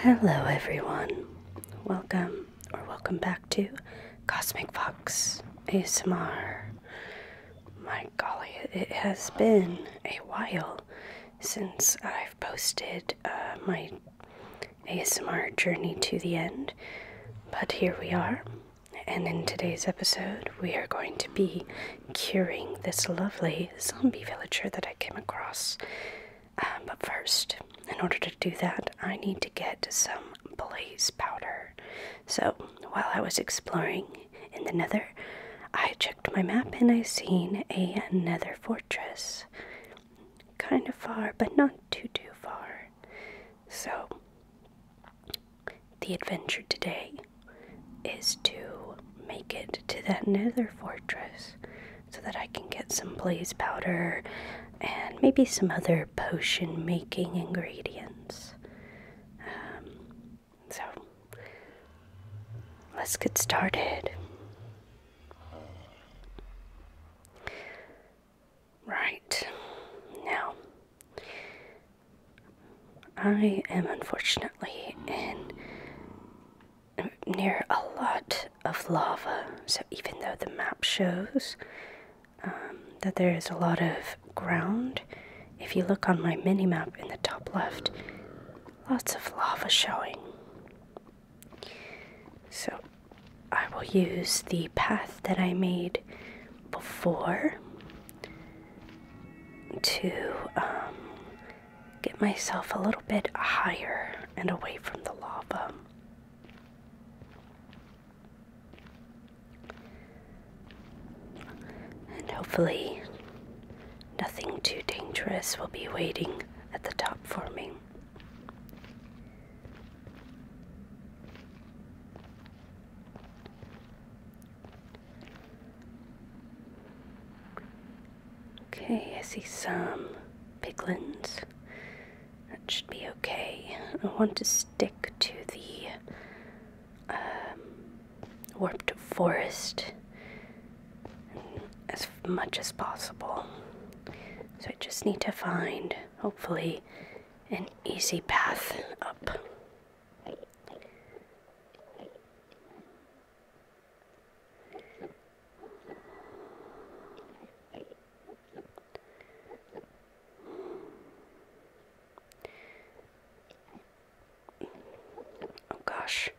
Hello, everyone. Welcome or welcome back to Cosmic Fox ASMR. My golly, it has been a while since I've posted uh, my ASMR journey to the end, but here we are and in today's episode, we are going to be curing this lovely zombie villager that I came across. Um, but first, in order to do that, I need to get some blaze powder. So, while I was exploring in the nether, I checked my map and I seen a nether fortress. Kind of far, but not too, too far. So, the adventure today is to make it to that nether fortress so that I can get some blaze powder and maybe some other potion making ingredients. Um, so, let's get started. Right. Now, I am unfortunately in near a lot of lava, so even though the map shows um, that there is a lot of ground, if you look on my mini map in the top left, lots of lava showing. So I will use the path that I made before to um, get myself a little bit higher and away from the lava. And hopefully, nothing too dangerous will be waiting at the top for me. Okay, I see some piglins. That should be okay. I want to stick to the um, warped forest as much as possible. So I just need to find, hopefully, an easy path up. Oh gosh,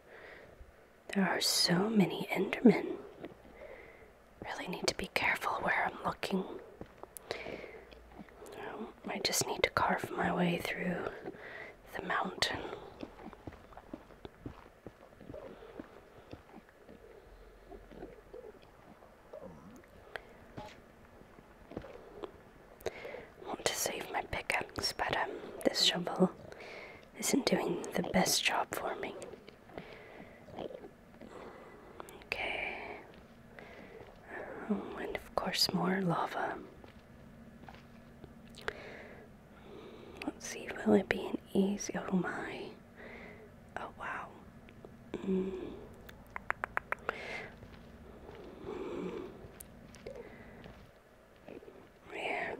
there are so many Endermen. Really need to be careful where I'm looking. Um, I just need to carve my way through the mountain. I want to save my pickaxe, but um, this shovel isn't doing the best job for me. Okay. Oh, and of course, more lava. Let's see, will it be easy? Oh my. Oh wow. Mm. Yeah.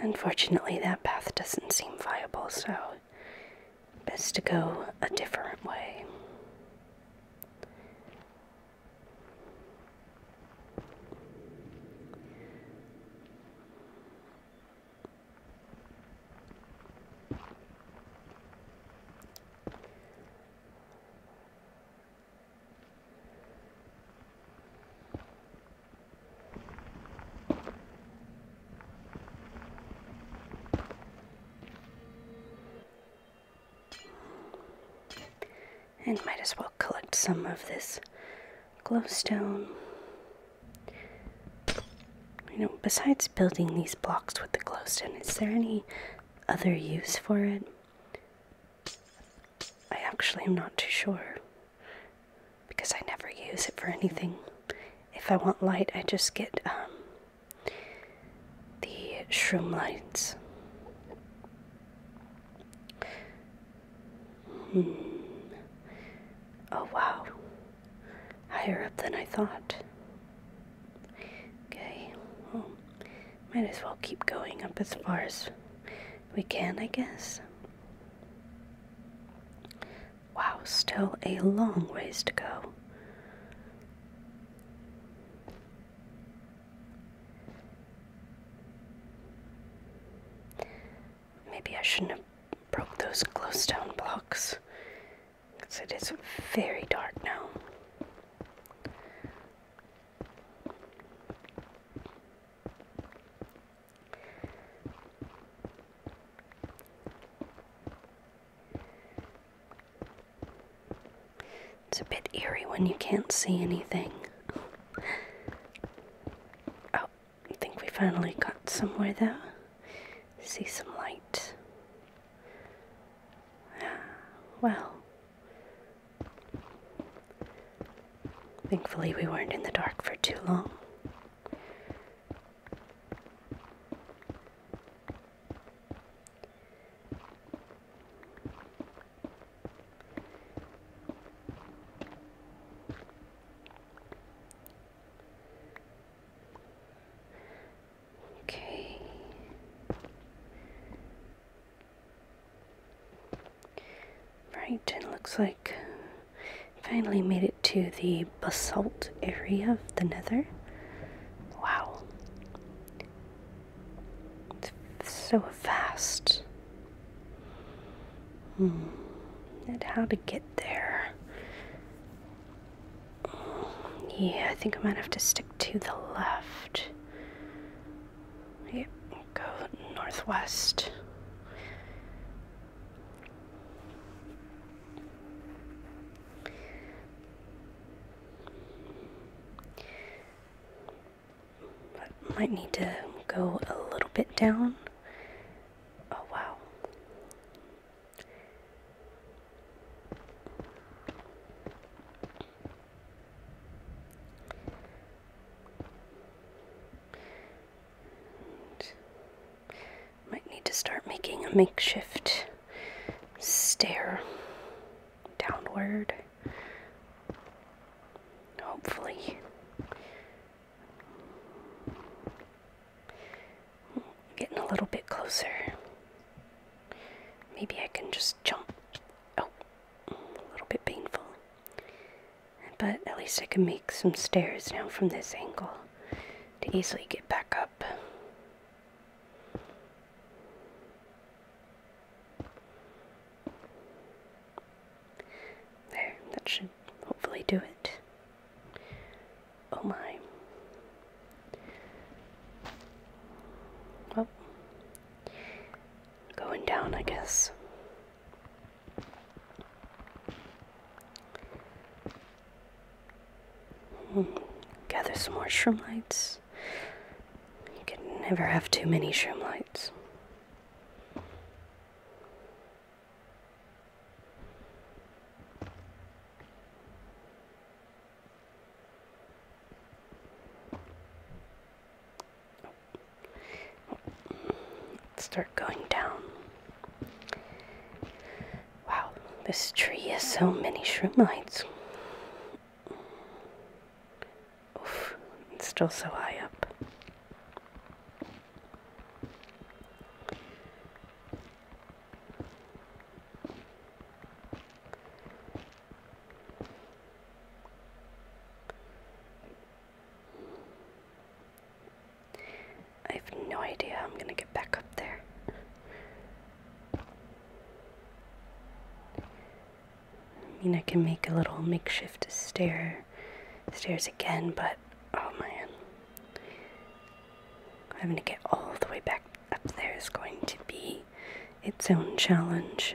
Unfortunately, that path doesn't seem viable, so best to go a different way. And might as well collect some of this glowstone. You know, besides building these blocks with the glowstone, is there any other use for it? I actually am not too sure. Because I never use it for anything. If I want light, I just get um, the shroom lights. Hmm. Oh wow, higher up than I thought. Okay, might as well keep going up as far as we can, I guess. Wow, still a long ways to go. Maybe I shouldn't have broke those glowstone blocks because it is very dark now. It's a bit eerie when you can't see anything. Oh, I think we finally got somewhere though. See some light. Ah, well, thankfully we weren't in the dark for too long. Okay. Right, it looks like finally made it to the basalt area of the nether. Wow. It's so fast. Hmm. And how to get there. Yeah, I think I might have to stick to the left. Yep, go northwest. But might need to go a little bit down. Oh, wow. might need to start making a makeshift stare downward. Hopefully, getting a little bit closer. Maybe I can just jump. Oh, a little bit painful. But at least I can make some stairs now from this angle to easily get back up. There, that should hopefully do it. Oh my. Well, going down, I guess. Hmm, gather some more shroom lights. You can never have too many shroom lights. start going down. Wow, this tree has so many shroom lights. Oof, it's still so high up. I have no idea how I'm gonna get back up there. I mean, I can make a little makeshift stair, stairs again, but oh man, having to get all the way back up there is going to be its own challenge.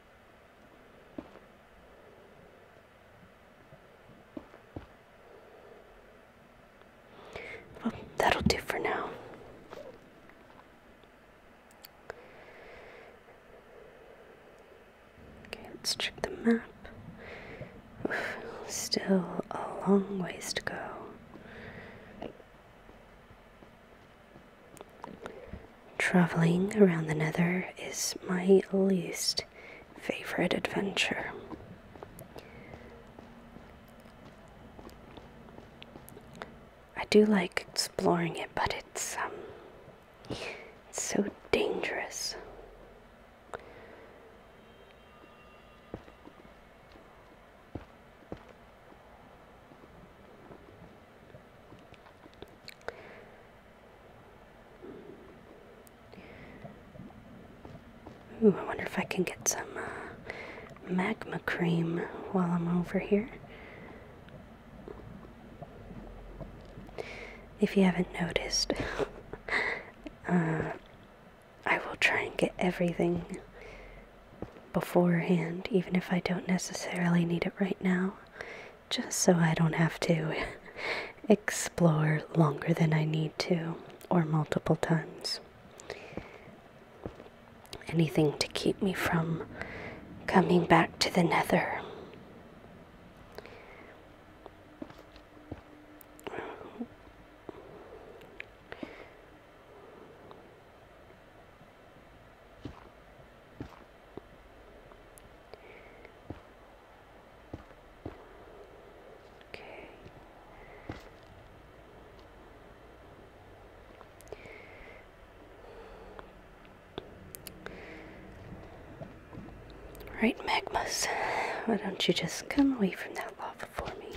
Well, that'll do for now. Okay, let's check the map. still a long ways to go. Traveling around the Nether is my least favorite adventure. I do like exploring it, but it's um it's so dangerous. Ooh, I wonder if I can get some uh, magma cream while I'm over here. If you haven't noticed, uh, I will try and get everything beforehand, even if I don't necessarily need it right now just so I don't have to explore longer than I need to or multiple times. Anything to keep me from coming back to the nether. Right, Magmus, why don't you just come away from that lava for me?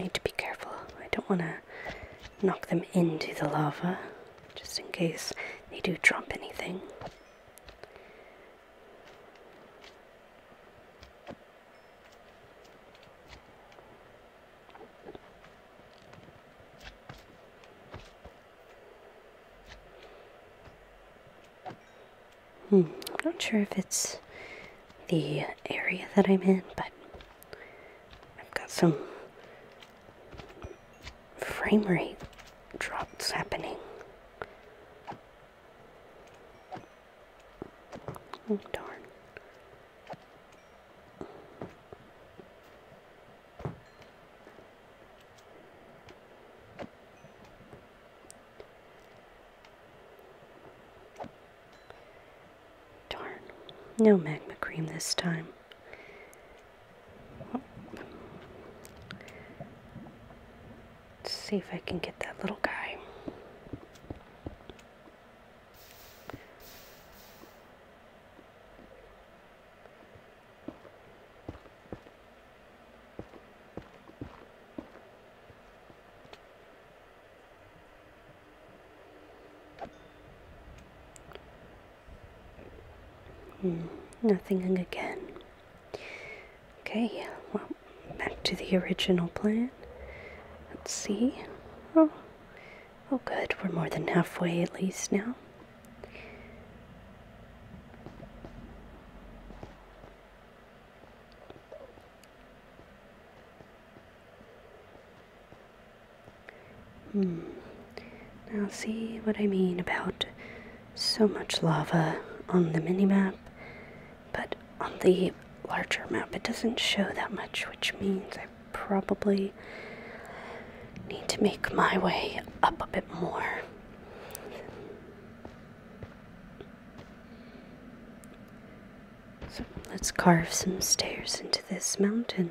Need to be careful. I don't want to knock them into the lava just in case they do drop anything. I'm hmm, not sure if it's the area that I'm in, but I've got some frame rate drops happening. Oh, darn. Darn, no magma cream this time. Let's see if I can get that little guy. Hmm, nothing again. Okay, well, back to the original plan. Let's see. Oh, Oh, good, we're more than halfway at least now. Hmm. Now, see what I mean about so much lava on the mini map, but on the larger map it doesn't show that much, which means I probably need to make my way up a bit more. let's carve some stairs into this mountain.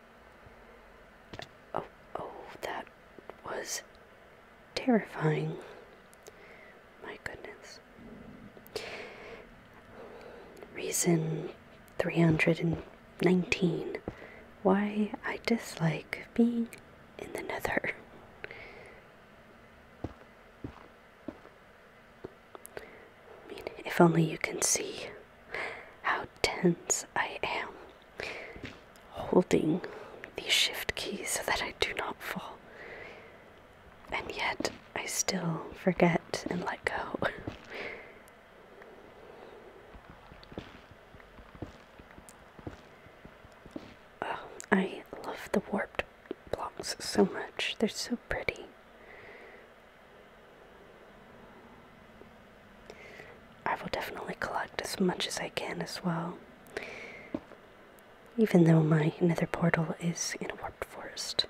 Oh, oh, that was terrifying. My goodness. Reason 319 Why I dislike being in the nether. I mean, if only you can see how tense I am holding the shift key so that I do not fall. And yet, I still forget and let go. Oh, I love the warped blocks so much, they're so pretty. I will definitely collect as much as I can as well. Even though my nether portal is in a warped forest.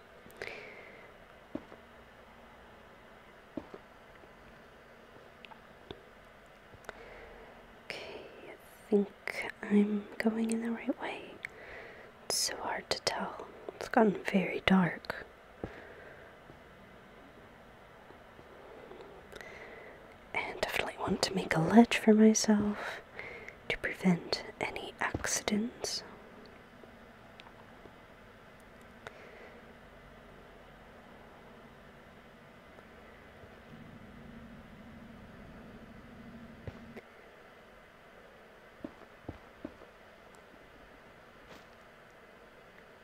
Okay, I think I'm going in the right way. It's so hard to tell. It's gotten very dark. I definitely want to make a ledge for myself to prevent any accidents.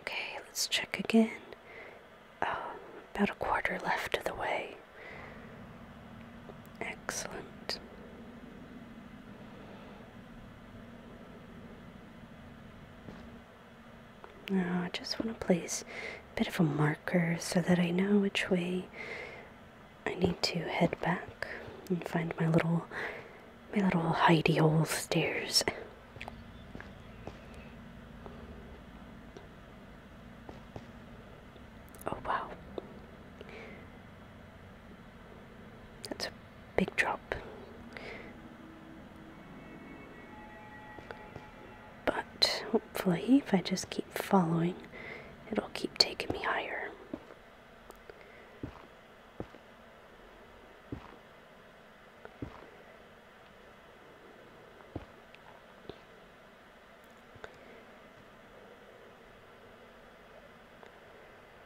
Okay, let's check again. Um, about a quarter left of the way. Excellent. Now I just want to place a bit of a marker so that I know which way I need to head back and find my little my little hidey hole stairs. Oh wow. That's a big drop. But hopefully, if I just keep following, it'll keep taking me higher.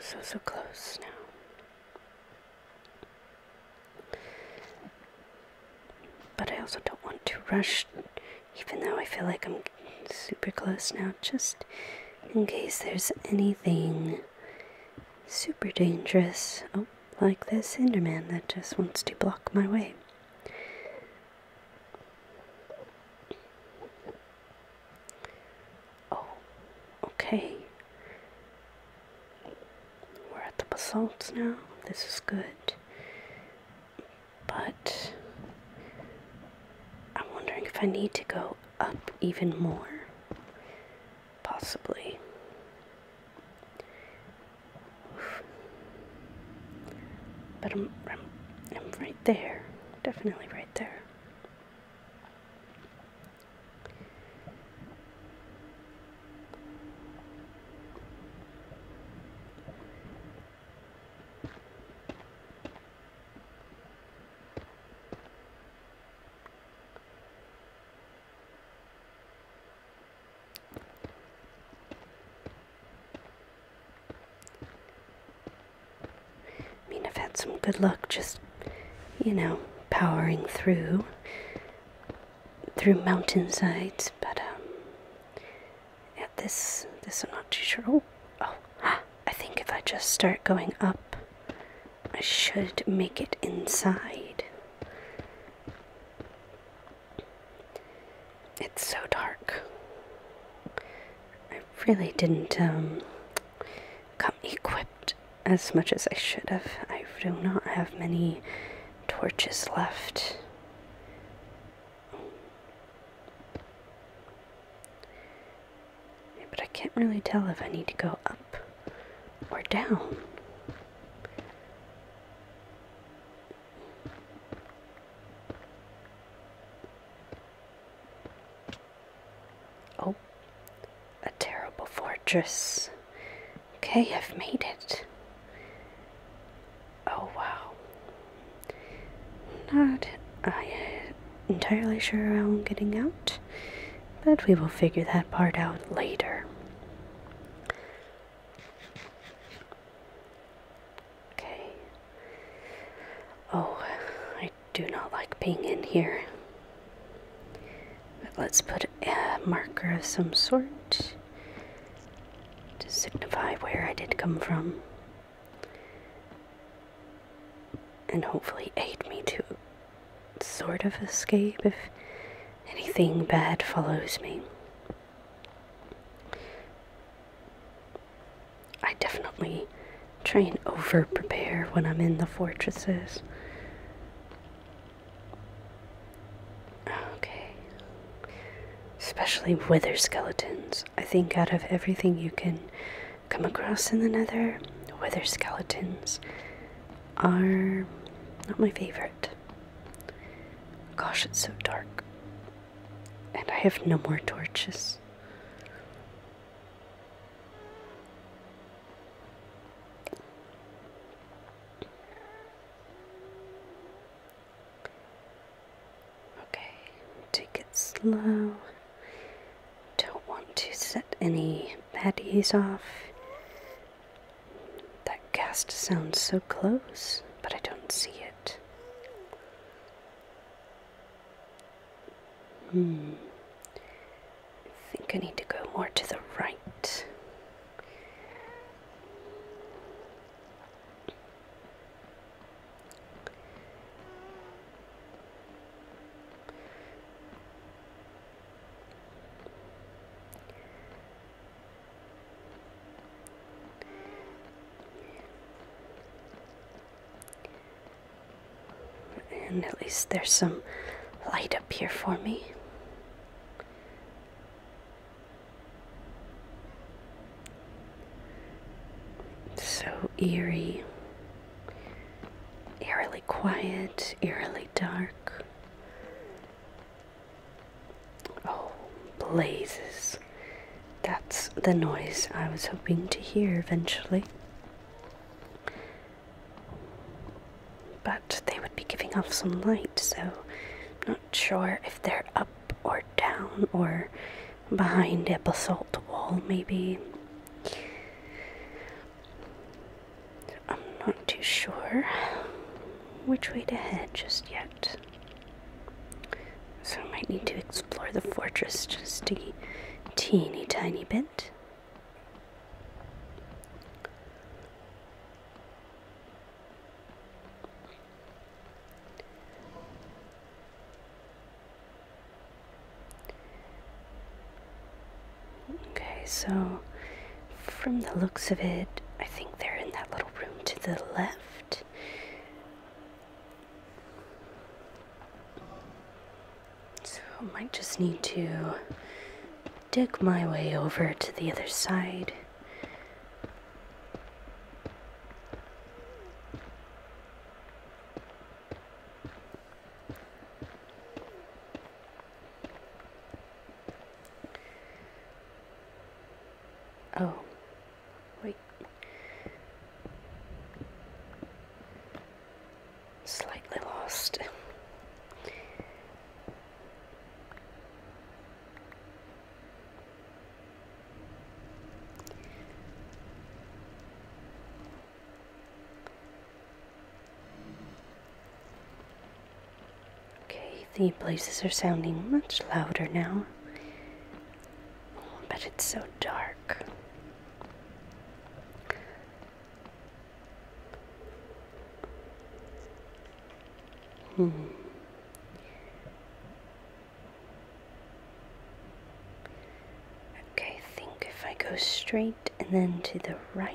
So, so close now. But I also don't want to rush, even though I feel like I'm super close now, just in case there's anything super dangerous. Oh, like this Enderman that just wants to block my way. Oh, okay. We're at the basalt now. This is good. But I'm wondering if I need to go up even more. Possibly. But I'm, I'm right there. Definitely right there. I mean, I've had some good luck just, you know, powering through through mountainsides, but um, this this I'm not too sure. Oh, oh, I think if I just start going up I should make it inside. It's so dark. I really didn't um, come equipped as much as I should have. I do not have many torches left but I can't really tell if I need to go up or down. Oh, a terrible fortress. Okay, I've made it. Oh wow. Not I entirely sure how I'm getting out, but we will figure that part out later. Okay. Oh, I do not like being in here. But let's put a marker of some sort to signify where I did come from. And hopefully aid me to sort of escape if anything bad follows me. I definitely try and over prepare when I'm in the fortresses. Okay. Especially wither skeletons. I think out of everything you can come across in the nether. Weather skeletons are not my favorite. Gosh, it's so dark. And I have no more torches. Okay, take it slow don't want to set any baddies off. That cast sounds so close, but I don't see it. Hmm. I think I need to go more to the right at least there's some light up here for me. So eerie eerily quiet, eerily dark. Oh, blazes. That's the noise I was hoping to hear eventually. But they would be giving off some light, so I'm not sure if they're up or down or behind a basalt wall, maybe. I'm not too sure which way to head just yet. So I might need to explore the fortress just a teeny tiny bit. Okay, so from the looks of it, I think they're in that little room to the left. So I might just need to dig my way over to the other side. Oh, wait. Slightly lost. Okay, the blazes are sounding much louder now. Oh, but it's so dark. Hmm. Okay, think if I go straight and then to the right.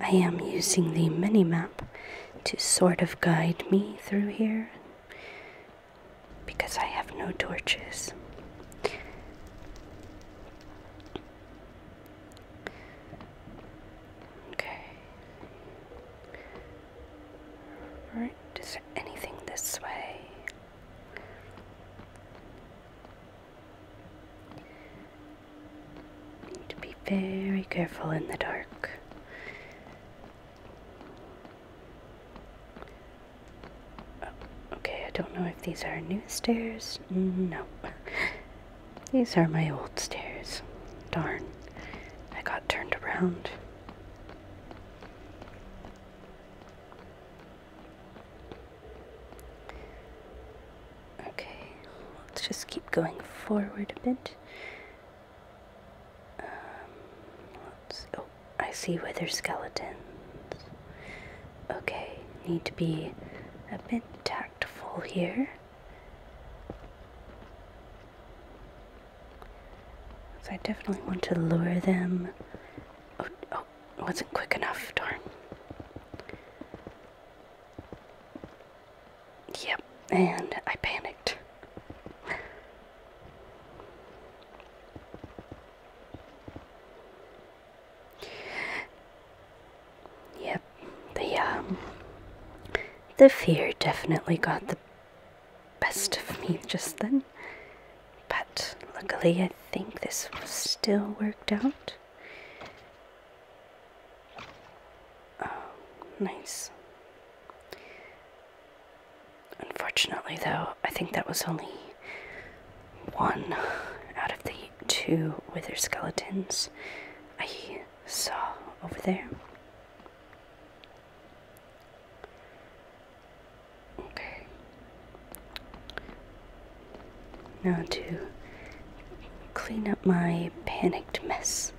I am using the mini map to sort of guide me through here because I have no torches. Okay. Right, is there anything this way? Need to be very careful in the dark. Okay, I don't know if these are new stairs. No. These are my old stairs. Darn. I got turned around. Okay, let's just keep going forward a bit. Um, let's, oh, I see wither skeletons. Okay, need to be a bit tactful here. So I definitely want to lure them. Oh, oh wasn't quick enough, darn. Yep, and I panicked. Yep, the um, the fear definitely got the best of me just then. But luckily, I think this still worked out. Oh, nice. Unfortunately, though, I think that was only one out of the two wither skeletons I saw over there. Okay. Now to clean up my panicked mess.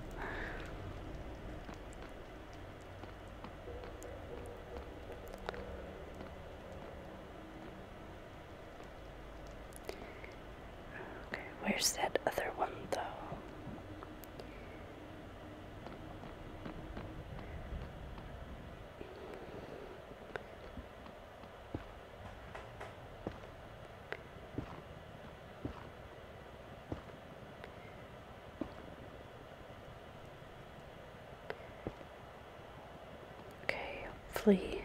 Okay, where's that other one though? Okay, hopefully,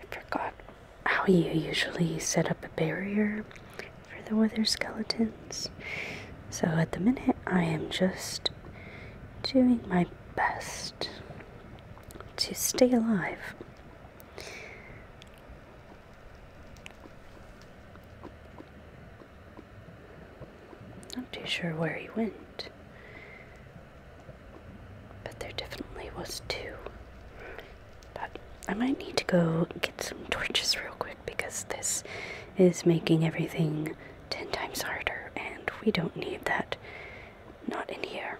I forgot how you usually set up a barrier for the wither skeletons. So at the minute, I am just doing my best to stay alive. Not too sure where he went. But there definitely was two. I might need to go get some torches real quick because this is making everything ten times harder and we don't need that. Not in here.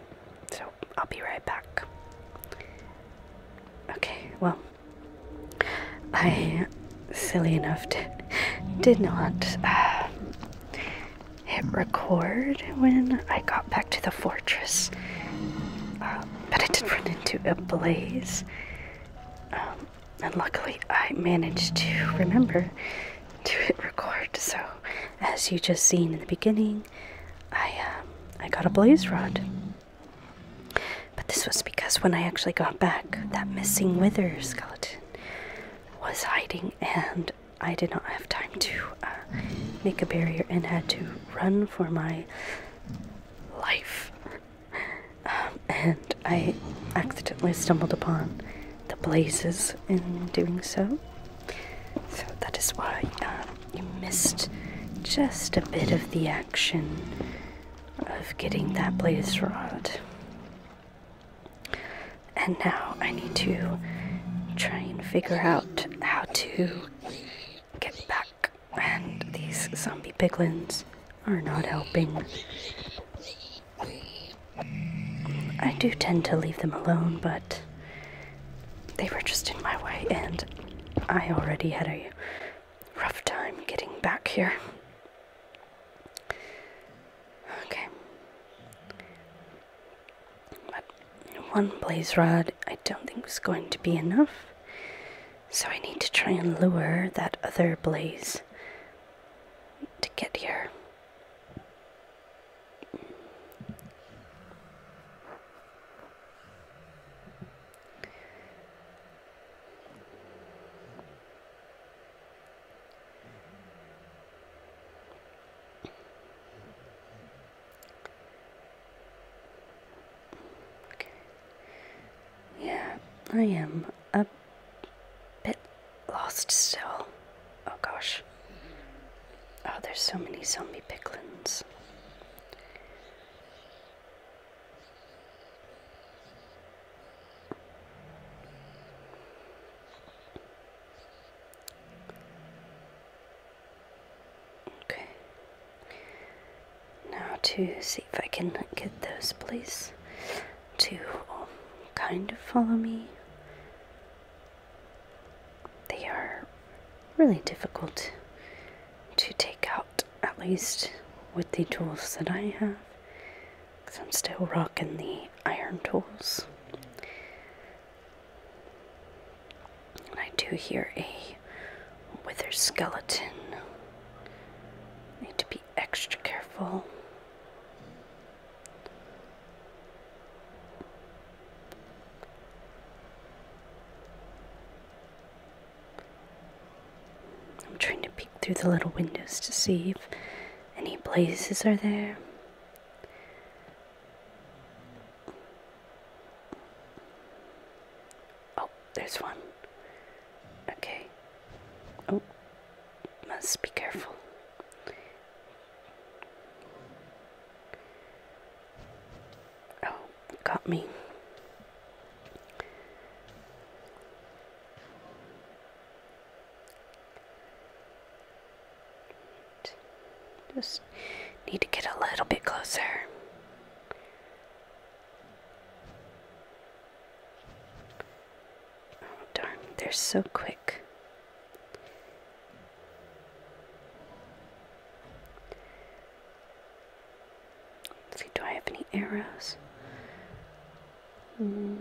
So I'll be right back. Okay, well, I, silly enough, to, did not. Uh, hit record when I got back to the fortress. Uh, but I did run into a blaze. Um, and luckily, I managed to remember to hit record. So, as you just seen in the beginning, I um, I got a blaze rod. But this was because when I actually got back, that missing wither skeleton was hiding, and I did not have time to uh, make a barrier and had to run for my life. Um, and I accidentally stumbled upon the blazes in doing so. So that is why um, you missed just a bit of the action of getting that blaze rod. And now I need to try and figure out how to get back. And these zombie piglins are not helping. I do tend to leave them alone, but they were just in my way, and I already had a rough time getting back here. Okay. But one blaze rod I don't think is going to be enough. So I need to try and lure that other blaze to get here. Yeah, I am a bit lost still. Oh gosh. Oh, there's so many zombie picklins. Okay. Now to see if I can get those please to um, kind of follow me. They are really difficult to take out, at least with the tools that I have. Because I'm still rocking the iron tools. I do hear a withered skeleton. Need to be extra careful. I'm trying to peek through the little windows to see if any blazes are there. Oh, there's one. Okay. Oh, must be careful. Oh, got me. Just need to get a little bit closer. Oh, darn, they're so quick. see, do I have any arrows? Mm.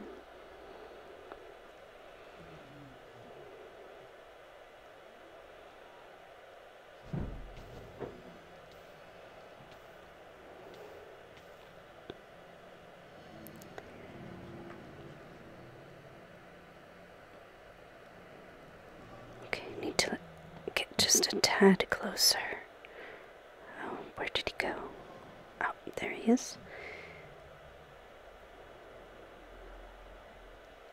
Okay, I need to get just a tad closer. Oh, where did he go? Oh, there he is.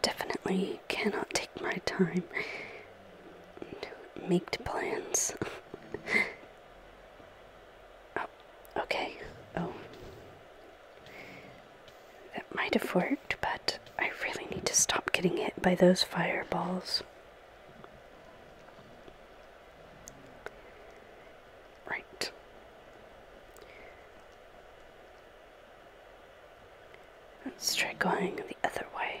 Definitely cannot take my time to make plans. Oh, okay. Oh. That might have worked, but I really need to stop getting hit by those fireballs. Right. Let's try going the other way.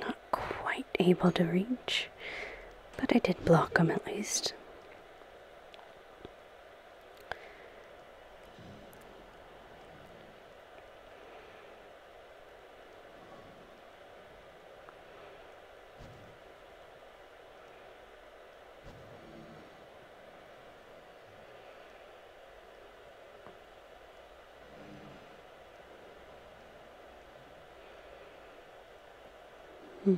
Not quite able to reach, but I did block him at least. Hmm.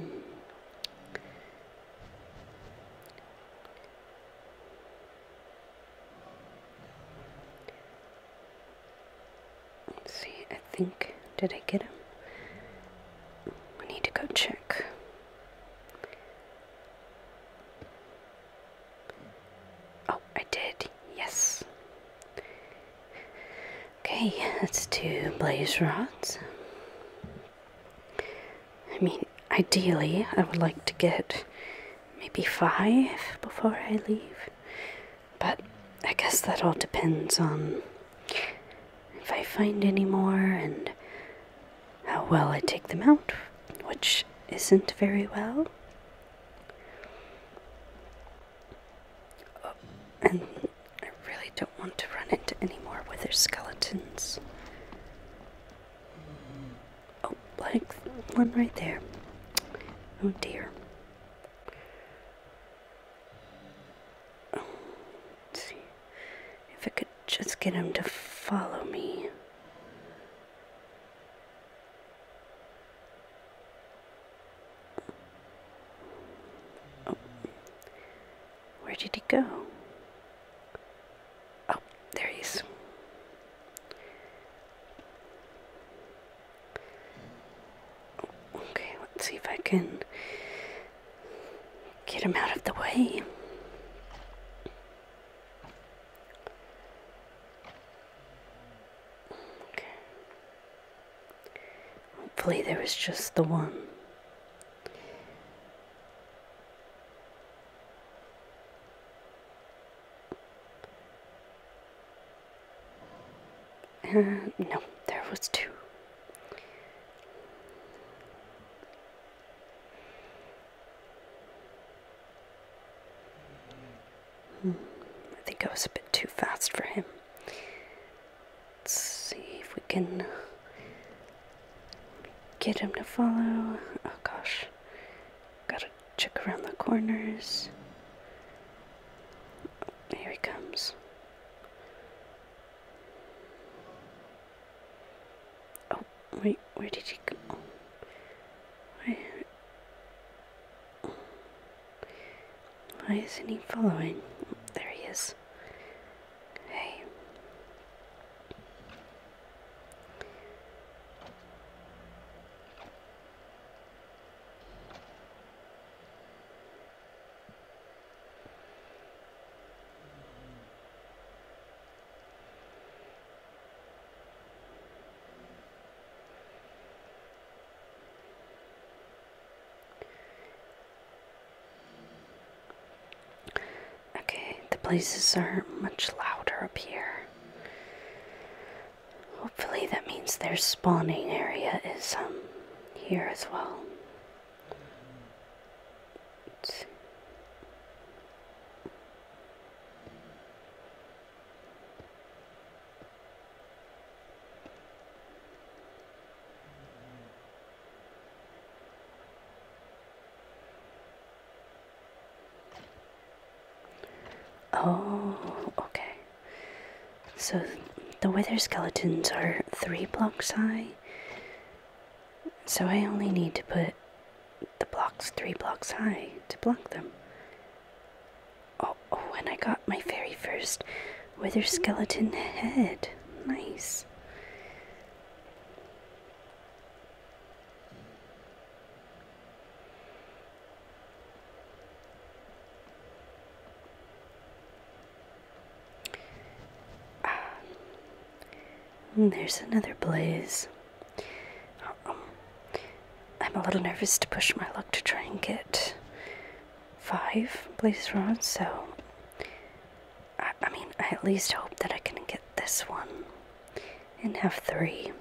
see, I think, did I get him? I need to go check. Oh, I did. Yes. Okay, let's do blaze rods. I mean, ideally, I would like to get maybe five before I leave, but I guess that all depends on if I find any more and how well I take them out, which isn't very well and um, I really don't want to run into any more wither skeletons. Oh, like one right there. Oh dear. let's see if I could just get him to follow me. Where did he go? Oh, there he is. Okay, let's see if I can get him out of the way. Okay. Hopefully, there was just the one. Uh, no, there was two. Hmm. I think I was a bit too fast for him. Let's see if we can get him to follow. Oh gosh. Gotta check around the corners. here he comes. Oh, wait, where did he go? Where? Why isn't he following? there he is. Hey. Okay, the places are much louder up here. Hopefully that means their spawning area is um here as well. Oh, okay. So the wither skeletons are three blocks high. So I only need to put the blocks three blocks high to block them. Oh, when oh, I got my very first wither skeleton head. Nice. Um, hmm, there's another blaze. I'm a little nervous to push my luck to try and get five blaze rods, so I, I mean, I at least hope that I can get this one and have three.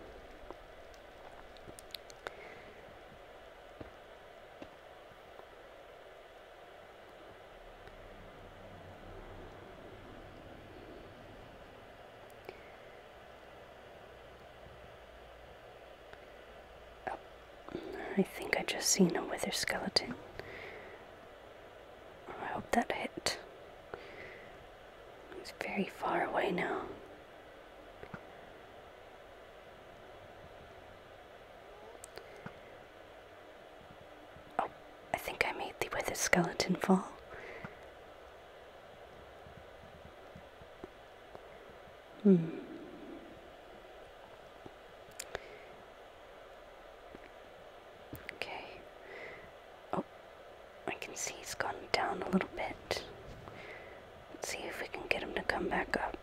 Oh, I think I just seen a wither skeleton. I hope that hit. It's very far away now. Oh, I think I made the wither skeleton fall. Hmm. Okay. Oh, I can see he's gone down a little bit. Let's see if we can get him to come back up.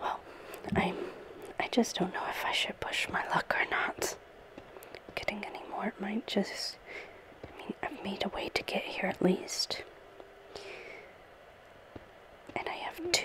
Well, I I just don't know if I should push my luck or not getting any more. It might just. I mean, I've made a way to get here at least. And I have two.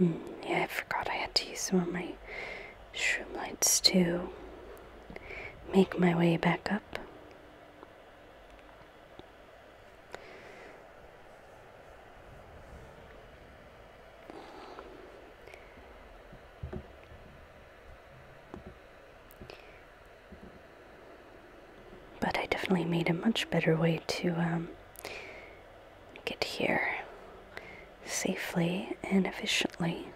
Mm, yeah, I forgot I had to use some of my shroom lights to make my way back up. But I definitely made a much better way to um, get here safely and efficiently.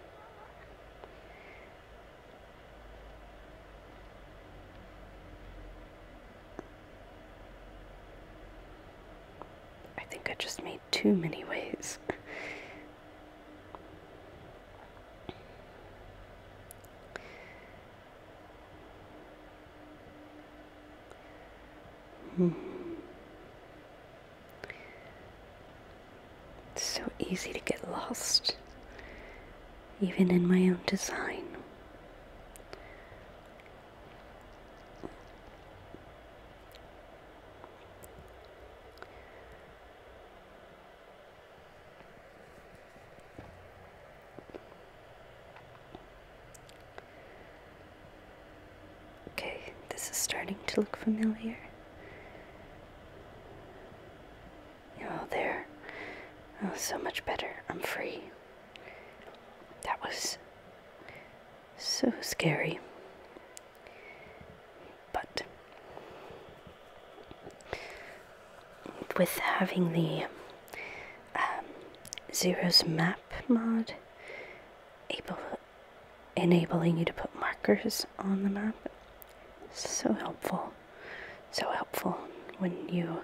I think I just made too many ways. Hmm. It's so easy to get lost, even in my own design. Okay, this is starting to look familiar. Oh, there. Oh, so much better. I'm free. That was so scary. But with having the um, Zero's Map mod, able, enabling you to put markers on the map. So helpful, so helpful when you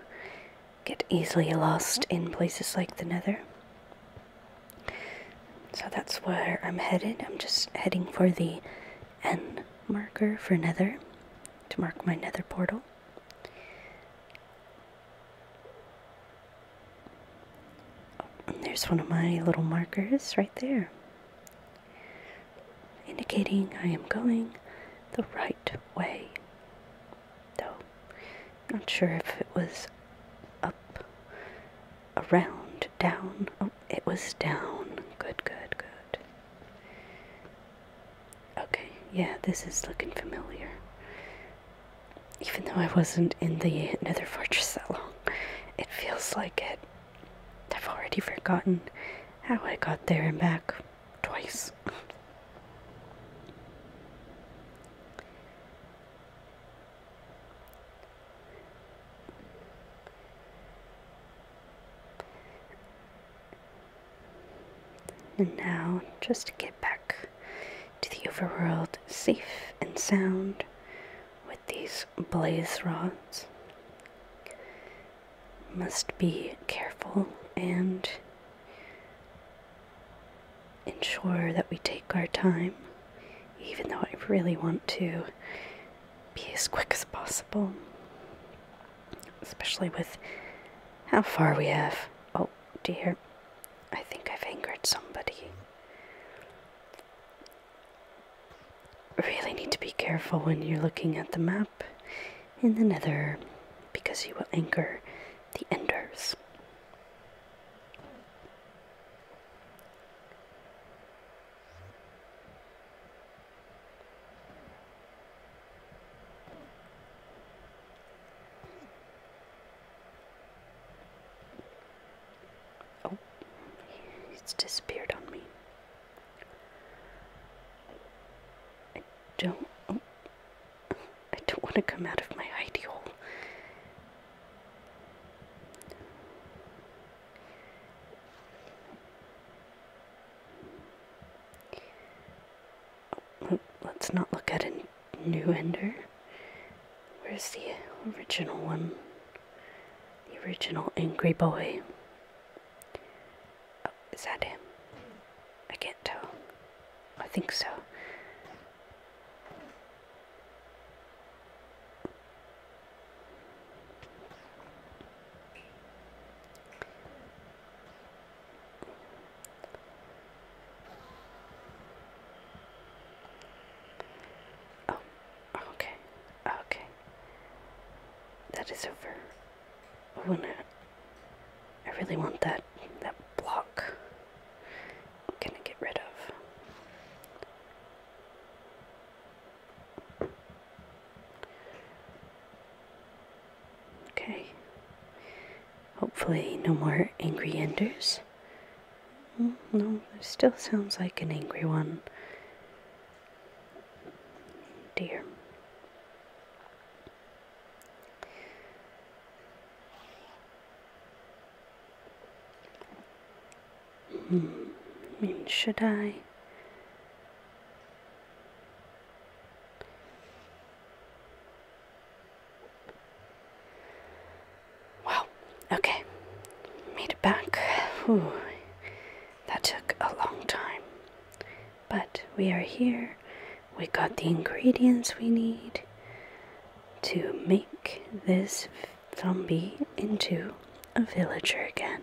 get easily lost in places like the Nether. So that's where I'm headed. I'm just heading for the N marker for Nether to mark my Nether portal there's one of my little markers right there, indicating I am going the right way. Though, not sure if it was up, around, down. Oh, it was down. Good, good, good. Okay, yeah, this is looking familiar even though I wasn't in the Nether Fortress that long, it feels like it. I've already forgotten how I got there and back twice. And now, just to get back to the overworld safe and sound with these blaze rods. Must be careful and ensure that we take our time, even though I really want to be as quick as possible, especially with how far we have. Oh dear. I think I've angered somebody. Really need to be careful when you're looking at the map in the nether because you will anger the enders. Oh, it's disappeared on me. I don't. I don't want to come out of my hidey hole let's not look at a new ender. Where's the original one? The original angry boy. Oh, is that him? I can't tell. I think so. Oh, okay, okay. That is over. I wanna. I really want that that block. I'm gonna get rid of. Okay. Hopefully, no more angry enders. Mm, no, still sounds like an angry one. Dear. Hmm. should I? Wow, okay. Made it back. Whew. That took a long time. But we are here. We got the ingredients we need to make this zombie into a villager again.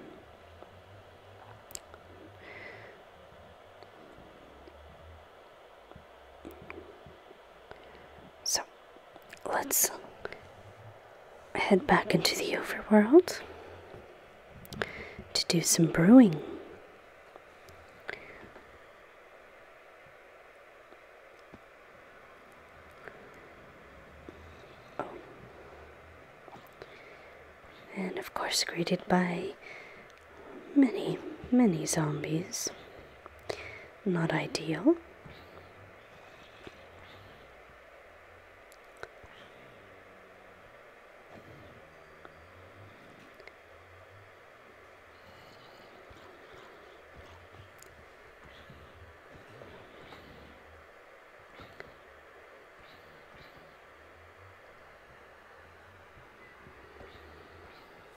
So let's head back into the overworld to do some brewing. Oh. And of course, greeted by many, many zombies not ideal.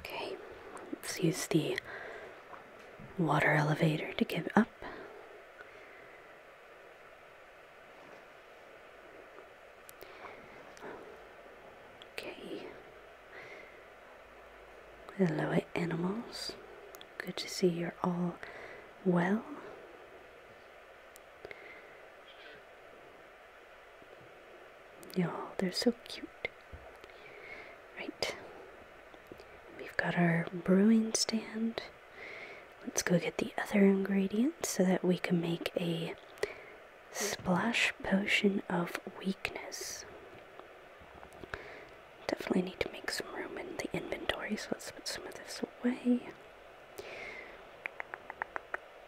Okay, let's use the water elevator to give up. Okay, hello animals. Good to see you're all well. Y'all, they're so cute. Right. We've got our brewing stand. Let's go get the other ingredients so that we can make a splash potion of weakness. Definitely need to make some room in the inventory, so let's put some of this away.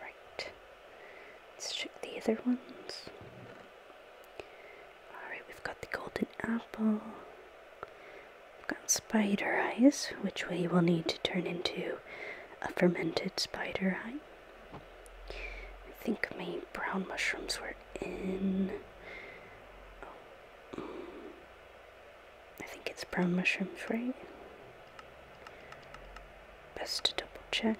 Right. Let's check the other ones. Alright, we've got the golden apple. We've got spider eyes, which we will need to turn into a fermented spider eye. I think my brown mushrooms were in. Oh, mm. I think it's brown mushroom free. Best to double check.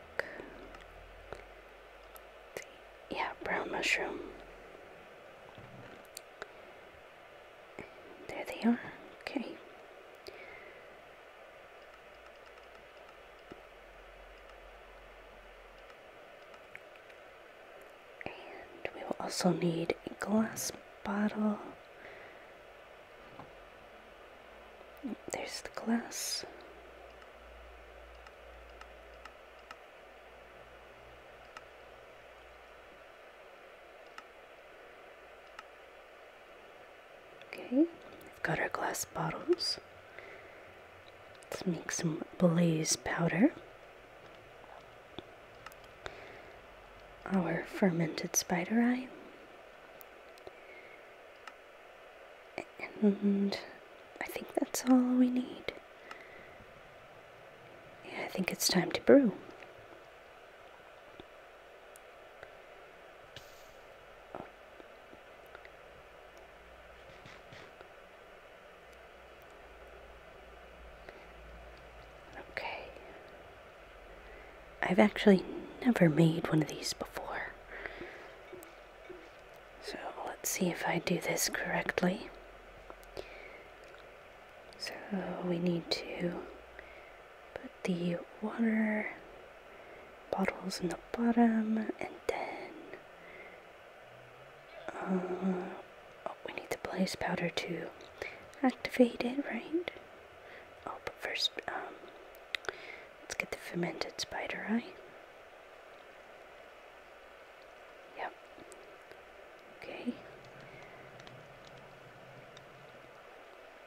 Yeah, brown mushroom. There they are. Okay. And we will also need a glass bottle there's the glass. Okay, we've got our glass bottles. Let's make some blaze powder our fermented spider eye. And I think that's all we need. I think it's time to brew. Okay. I've actually never made one of these before. So let's see if I do this correctly. So we need to put the water bottles in the bottom and then uh, Oh, we need the blaze powder to activate it, right? Oh, but first, um, let's get the fermented spider eye. Yep. Okay.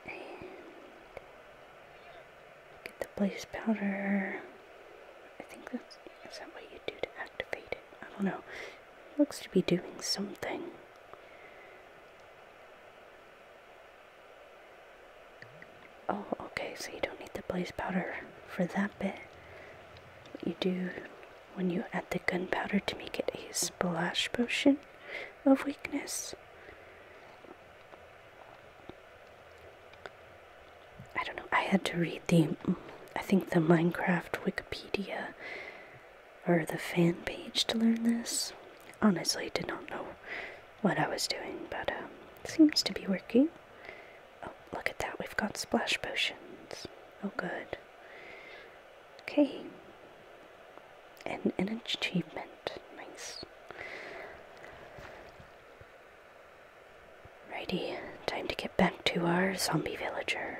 And get the blaze powder. I think that's is that what you do to activate it? I don't know. It looks to be doing something. Oh, okay, so you don't need the blaze powder for that bit. But you do when you add the gunpowder to make it a splash potion of weakness. I don't know, I had to read the, I think the Minecraft Wikipedia or the fan page to learn this. Honestly, did not know what I was doing, but um, seems to be working. Oh, look at that. We've got splash potions. Oh, good. Okay. And an achievement. Nice. Righty, time to get back to our zombie villager.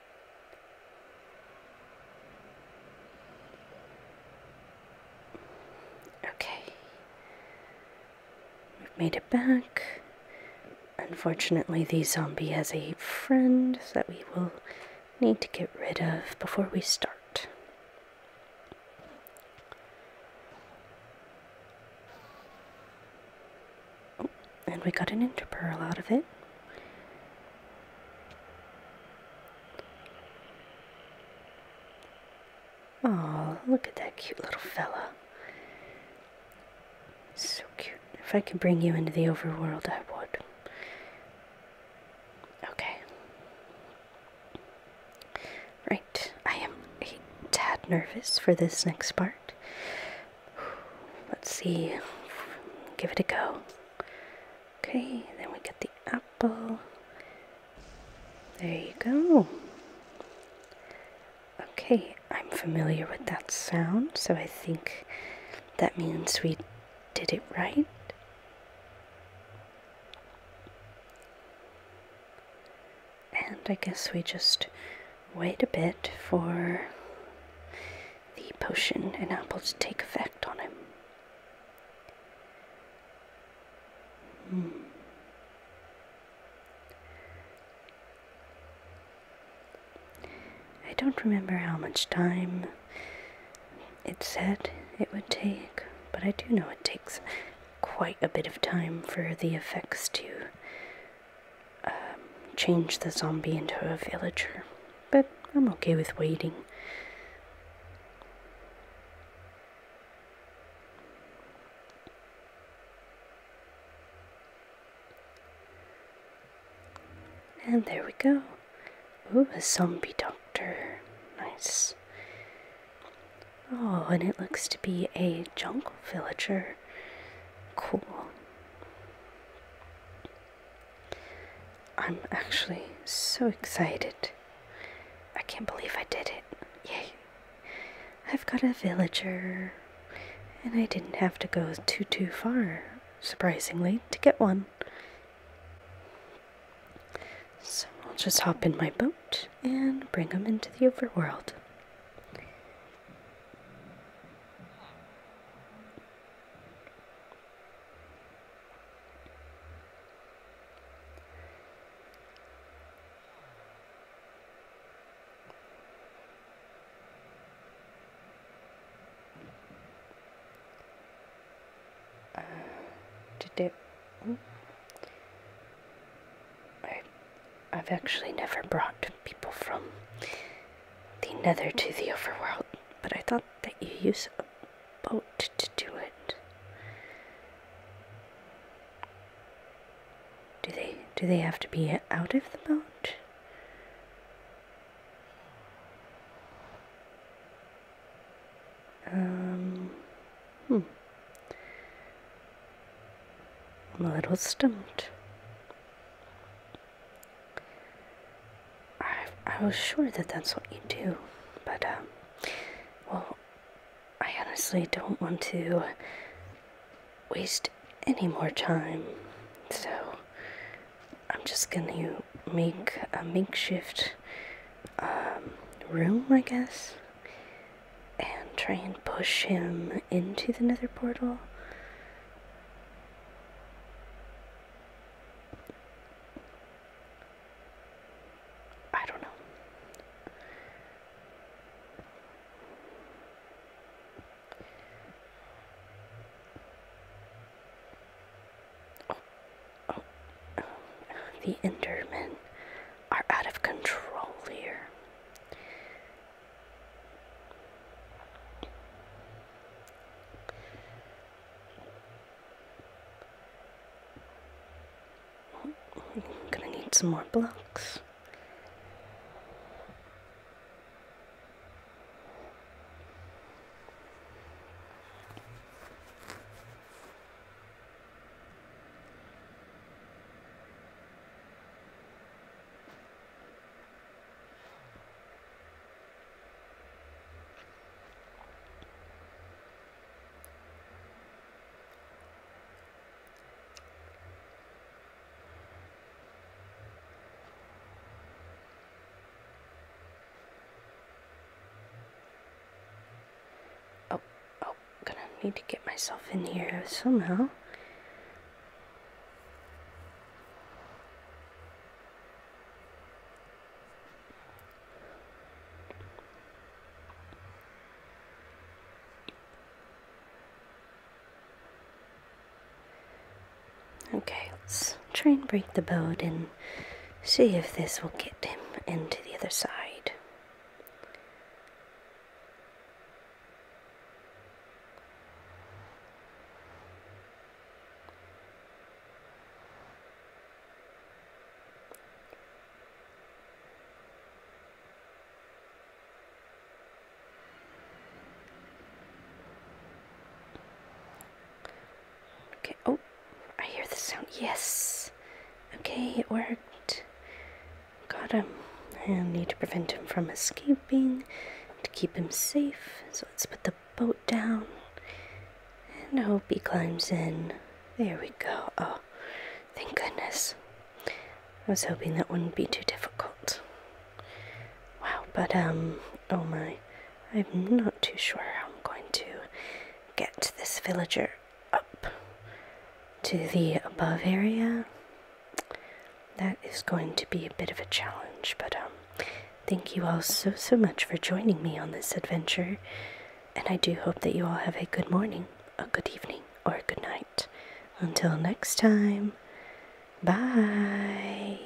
Okay. We've made it back. Unfortunately, the zombie has a friend that we will need to get rid of before we start. Oh, and we got an interpearl out of it. Oh, look at that cute little fella. So cute. If I could bring you into the overworld, I would. Okay. Right, I am a tad nervous for this next part. Let's see. Give it a go. Okay, then we get the apple. There you go. Okay, I'm familiar with that sound, so I think that means we did it right. And I guess we just wait a bit for the potion and apple to take effect on him. Hmm. I don't remember how much time it said it would take, but I do know it takes quite a bit of time for the effects to um, change the zombie into a villager, but I'm okay with waiting. And there we go. Ooh, a zombie doctor. Nice. Oh, and it looks to be a jungle villager. Cool. I'm actually so excited. I can't believe I did it. Yay. I've got a villager, and I didn't have to go too, too far, surprisingly, to get one. So I'll just hop in my boat and bring them into the overworld. Uh, I've actually never brought people from the nether to the overworld, but I thought that you use a boat to do it. Do they do they have to be out of the boat? Um, hmm. I'm a little stumped. I, I was sure that that's what you do, but, um, well, I honestly don't want to waste any more time, so I'm just gonna make a makeshift um, room, I guess, and try and push him into the nether portal. I don't know. Oh, oh, The Endermen are out of control here. I'm gonna need some more blocks. Oh, oh, gonna need to get myself in here somehow. Okay, let's try and break the boat and see if this will get him into the other side. Okay, oh, I hear the sound. Yes! Okay, it worked. Got him. I need to prevent him from escaping, to keep him safe. So let's put the boat down. And I hope he climbs in. There we go. Oh, thank goodness. I was hoping that wouldn't be too difficult. Wow, but, um, oh my. I'm not too sure how I'm going to get this villager up to the above area. That is going to be a bit of a challenge, but, um, Thank you all so, so much for joining me on this adventure, and I do hope that you all have a good morning, a good evening, or a good night. Until next time, bye.